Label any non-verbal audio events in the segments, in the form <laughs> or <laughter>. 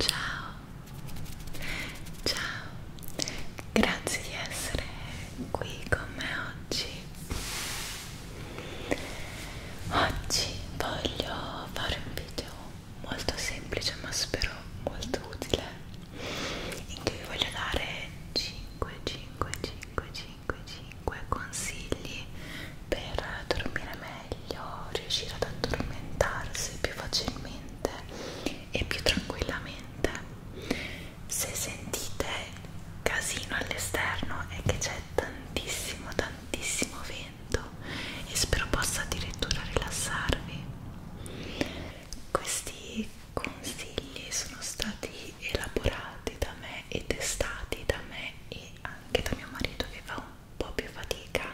Ciao, ciao, grazie di essere qui con me oggi. Oggi voglio fare un video molto semplice ma spero molto utile in cui vi voglio dare 5, 5, 5, 5, 5 consigli per dormire meglio, riuscire ad addormentarsi più facilmente e più tranquillamente. Se sentite casino all'esterno è che c'è tantissimo, tantissimo vento e spero possa addirittura rilassarvi. Questi consigli sono stati elaborati da me e testati da me e anche da mio marito che fa un po' più fatica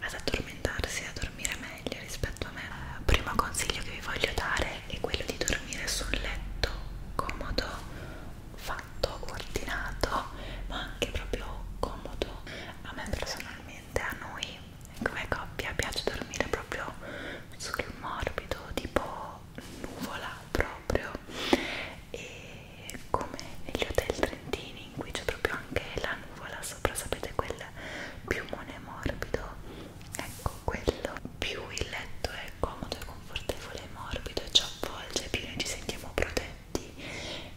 ad addormentarsi e a dormire meglio rispetto a me. Il primo consiglio che vi voglio dare è quello di dormire su un letto comodo, fatto, ordinato, ma anche proprio comodo. A me personalmente, a noi come coppia piace dormire proprio sul morbido tipo nuvola proprio e come negli hotel trentini in cui c'è proprio anche la nuvola sopra sapete quel piumone morbido ecco quello più il letto è comodo e confortevole e morbido e ci avvolge più noi ci sentiamo protetti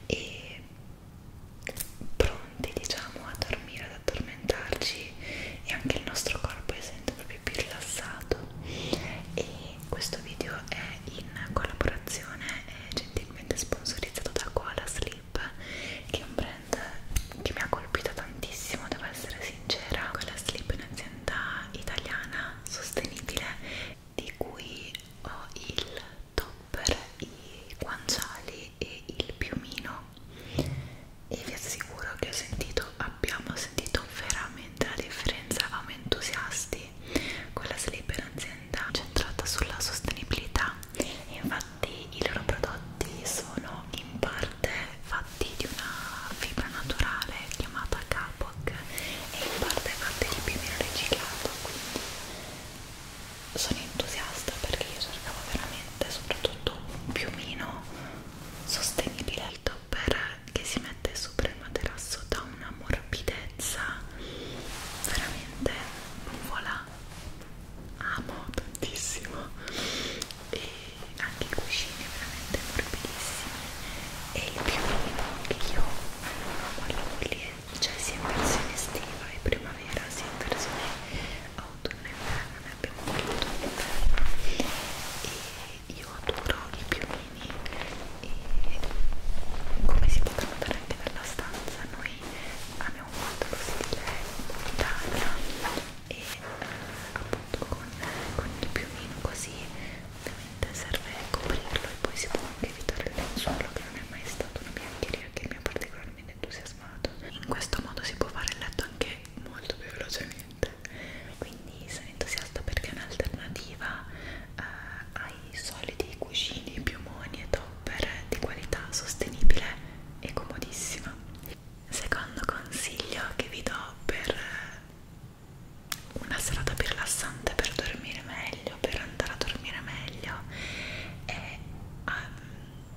e pronti diciamo a dormire ad addormentarci addormentarci e anche il nostro corpo è sempre proprio più rilassato e questo video è in collaborazione e gentilmente sponsorizzato da Koala Sleep che è un brand che mi ha colpito tantissimo devo essere sincera Koala Sleep è un'azienda italiana sostenibile di cui ho il topper, i guanciali e il piumino e vi assicuro che ho sentito abbiamo sentito veramente la differenza eravamo entusiasti quella Sleeper azienda centrata sulla sostenibilità e infatti i loro prodotti sono in parte fatti di una fibra naturale chiamata Capoc e in parte fatti di piumino riciclato quindi sono entusiasta perché io cercavo veramente soprattutto un piumino sostenibile il topper che si mette sopra il materasso dà una morbidezza veramente voilà amo tantissimo e anche i cuscini veramente morbidissimi e il piumino che io quello lì cioè sia in versione estiva e primavera sia in versione autunno e inverno abbiamo voluto all'interno e io adoro i piumini e come si può notare anche dalla stanza noi abbiamo fatto lo stile montagna e appunto con, con il piumino così ovviamente serve coprirlo e poi si può anche evitare il lenzuolo che non è mai stata una biancheria che mi ha particolarmente entusiasmato in questo modo si può fare il letto anche molto più velocemente quindi sono entusiasta perché è un'alternativa eh, ai soliti cuscini, piumoni e topper di qualità sostenibile e comodissima secondo consiglio che vi do per eh, una serata più rilassante per dormire meglio per andare a dormire meglio è um,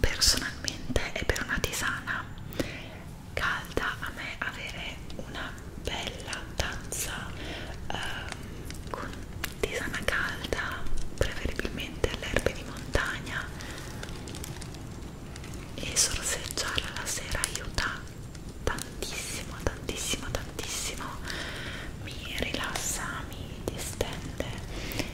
personalmente e per una tisana calda a me avere una bella tazza eh, con tisana calda preferibilmente alle erbe di montagna e sorseggiarla la sera aiuta tantissimo tantissimo tantissimo mi rilassa mi distende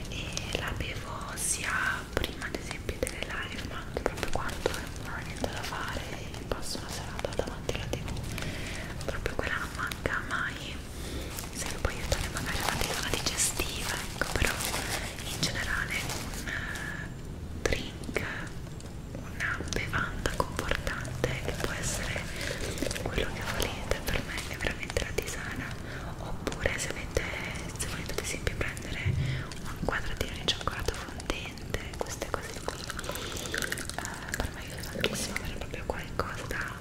e la bevo sia prima ad esempio delle live mando proprio quando non ho niente da fare e passo una serata davanti alla tv proprio quella non manca mai se lo puoi aiutare magari una dieta digestiva ecco però in generale un eh, drink una bevanda confortante che può essere quello che volete per me è veramente la tisana oppure se, avete, se volete ad esempio prendere un quadratino di cioccolato fondente queste cose qui eh, per me aiuta tantissimo avere proprio qualcosa da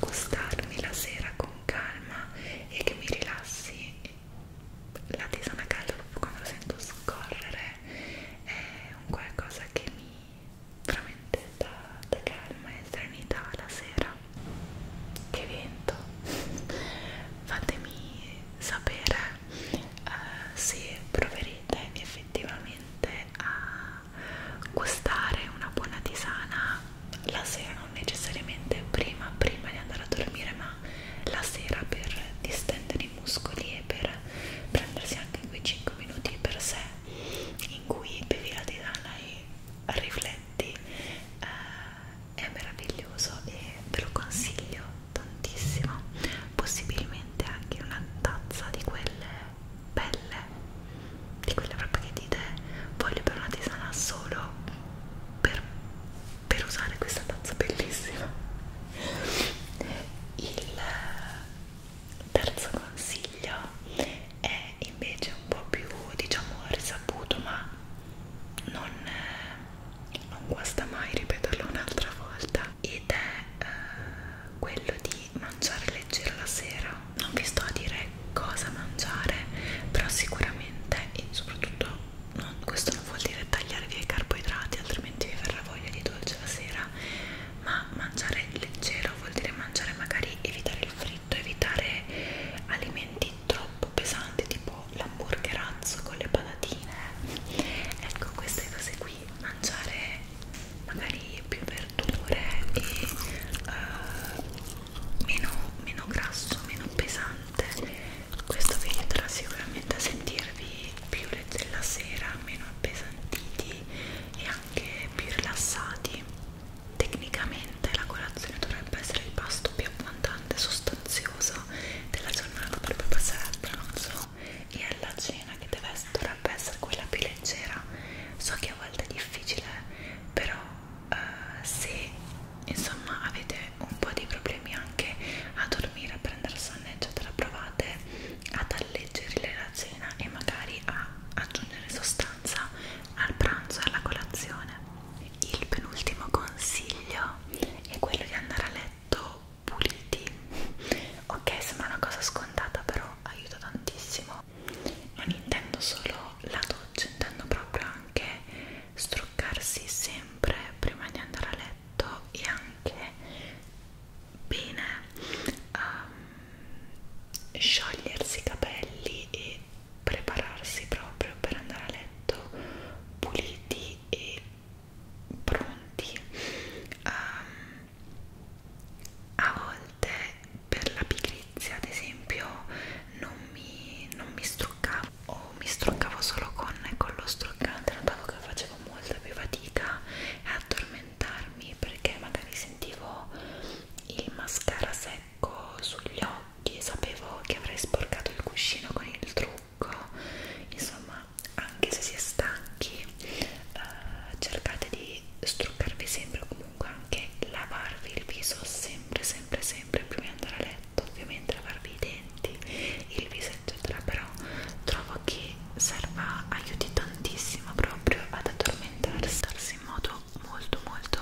gustarmi la sera con calma e che mi rilassi la tisana calda proprio quando lo sento scorrere è un qualcosa che mi veramente dà, dà calma e serenità la sera che vento fatemi sapere uh, se proverete effettivamente a gustare una buona tisana la sera non necessariamente prima prima di andare a dormire ma la sera per distendere i muscoli e per prendersi anche quei 5 minuti per sé in cui bevi la tisana e rifletti eh, è meraviglioso e ve lo consiglio tantissimo possibilmente anche una tazza di quelle belle di quelle proprio che dite voglio per una tisana solo per, per usare questa tazza bellissima il terzo consiglio è invece un po' più diciamo risaputo ma non, eh, non guasta mai ripeterlo un'altra volta ed è uh, quello di mangiare leggero la sera non vi sto a dire cosa mangiare però sicuramente e soprattutto non, questo non vuol dire tagliare via i carboidrati altrimenti vi verrà voglia di dolce la sera ma mangiare leggero vuol dire mangiare magari evitare il freddo scritto evitare alimenti troppo pesanti tipo l'hamburgerazzo con le patatine ecco queste cose qui mangiare magari più verdure e uh, meno, meno grasso meno pesante questo vi aiuterà sicuramente a sentirvi più leggeri la sera meno appesantiti e anche più rilassati Tecnicamente la colazione dovrebbe essere il pasto più abbondante e sostanzioso della giornata per poi passare al pranzo e alla cena che deve essere, dovrebbe essere quella più leggera. So che a volte è difficile, però eh, se insomma avete un po' di problemi anche a dormire, a prendere sonno, eccetera, provate ad alleggerire la cena e magari a aggiungere sostanza al pranzo e alla colazione il penultimo consiglio è quello di andare a letto puliti ok sembra una cosa scontata però aiuta tantissimo non intendo solo la doccia intendo proprio anche struccarsi sempre prima di andare a letto e anche bene um, sciogliersi i capelli e prepararsi proprio per andare a letto puliti e pronti um, a volte per la pigrizia ad esempio non mi, non mi struccavo o mi struccavo solo con, con lo struccante notavo che facevo molta più fatica ad addormentarmi perché magari sentivo il mascara secco secco sugli occhi, sapevo che avrei sporcato il cuscino con il trucco, insomma anche se si è stanchi eh, cercate di struccarvi sempre o comunque anche lavarvi il viso sempre sempre sempre prima di andare a letto, ovviamente lavarvi i denti, il viso eccetera, però trovo che serva, aiuti tantissimo proprio ad addormentarsi in modo sono molto molto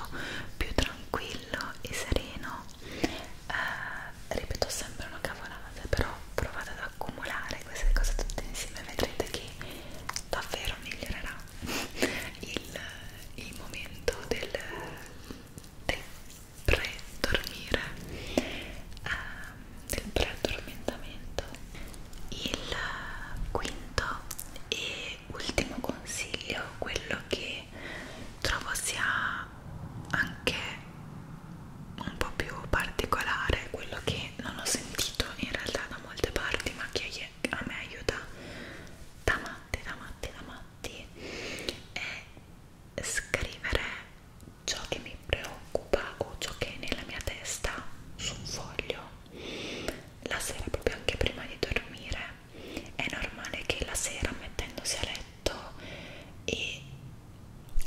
più tranquillo e sereno eh, ripeto sempre una cavolata però provate ad accumulare queste cose tutte insieme e vedrete che davvero migliorerà <laughs> il, il momento del, del pre-dormire eh, del pre-addormentamento il quinto e ultimo consiglio, quello che trovo sia anche un po' più particolare, quello che non ho sentito in realtà da molte parti, ma che a me aiuta da matti, da matti, da matti, è scrivere ciò che mi preoccupa o ciò che è nella mia testa su un foglio la sera proprio anche prima di dormire è normale che la sera mettendosi a letto e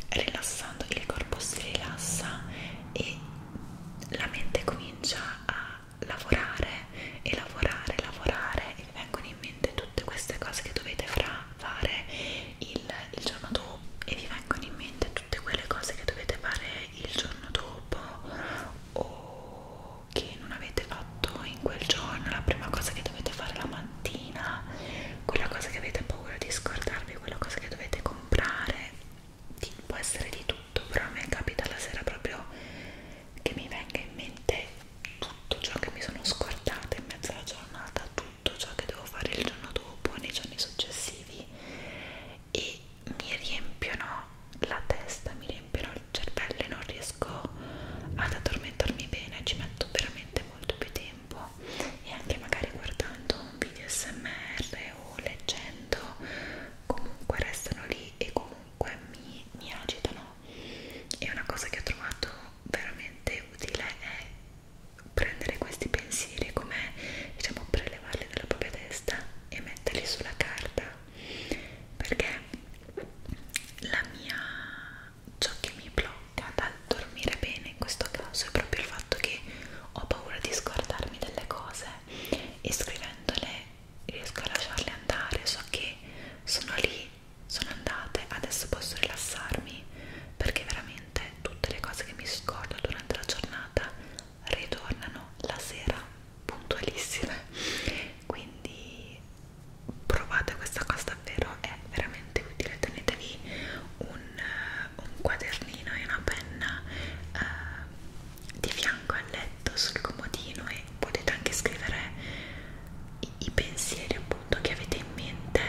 rilassando il corpo si rilassa e la mente comincia a lavorare e lavorare, lavorare e vi vengono in mente tutte queste cose che dovete fare il, il giorno dopo e vi vengono in mente tutte quelle cose che dovete fare il giorno dopo o che non avete fatto in quel giorno, la prima cosa che dovete fare la mattina, quella cosa che avete paura di scordarvi, quella cosa che dovete comprare, di, può essere di tutto, però a me capita la sera proprio che mi venga in mente tutto ciò che mi sono scordata in mezzo alla giornata, tutto ciò che devo fare il giorno dopo, nei giorni successivi e mi riempiono la testa, mi riempiono il cervello e non riesco ad addormentarmi bene, ci metto veramente molto più tempo e anche magari guardando un video smr o leggendo comunque restano lì e comunque mi, mi agitano e una cosa che ho trovato veramente utile è prendere questi pensieri come diciamo prelevarli dalla propria testa e metterli sulla carta perché la mia ciò che mi blocca dal dormire bene in questo caso è proprio il fatto che ho paura di scordarmi delle cose e scrivendole riesco a lasciarle andare so che sono lì sono andate adesso posso rilassarmi perché veramente tutte le cose che mi scordo durante la giornata ritornano la sera puntualissime quindi provate questa cosa davvero è veramente utile tenetevi un, un quadernino e una penna eh, di fianco al letto sul comodino e potete anche scrivere i, i pensieri appunto che avete in mente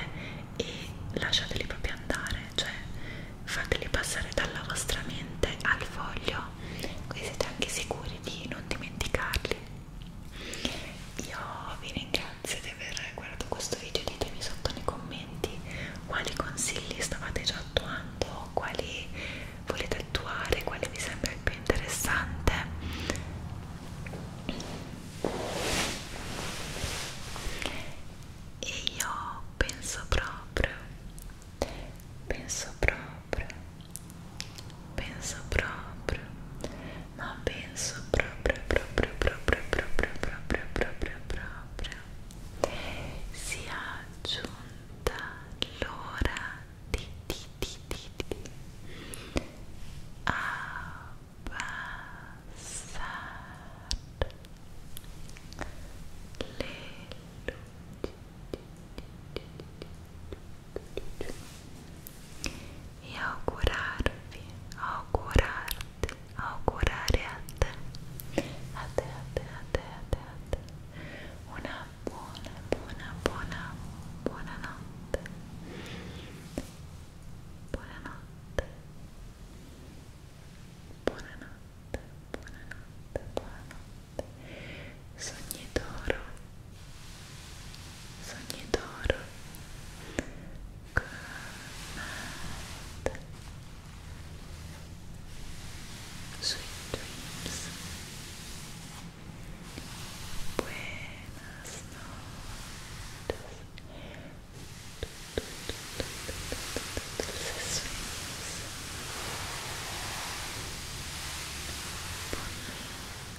e lasciateli proprio andare cioè fateli passare dalla vostra mente al foglio così siete anche sicuri di non dimenticarli io vi ringrazio di aver guardato questo video ditemi sotto nei commenti quali consigli stavate già attuando quali volete attuare quale vi sembra il più interessante e io penso proprio penso proprio penso proprio ma penso proprio proprio proprio proprio proprio proprio proprio si è aggiunta l'ora di di di di di abbassare le luci e augurarvi, augurarti, augurare a te, a te, a te, a te, a te, a te, una buona, buona, buona, buona notte, buonanotte, buonanotte, buonanotte, sogni d'oro sogni d'oro good night sweet dreams buenas noches dulces sueños Bonita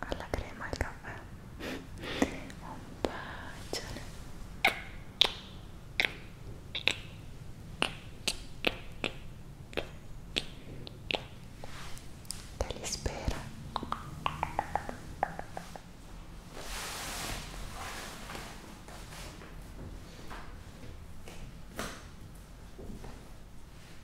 alla crema e al caffè un bacione te li spero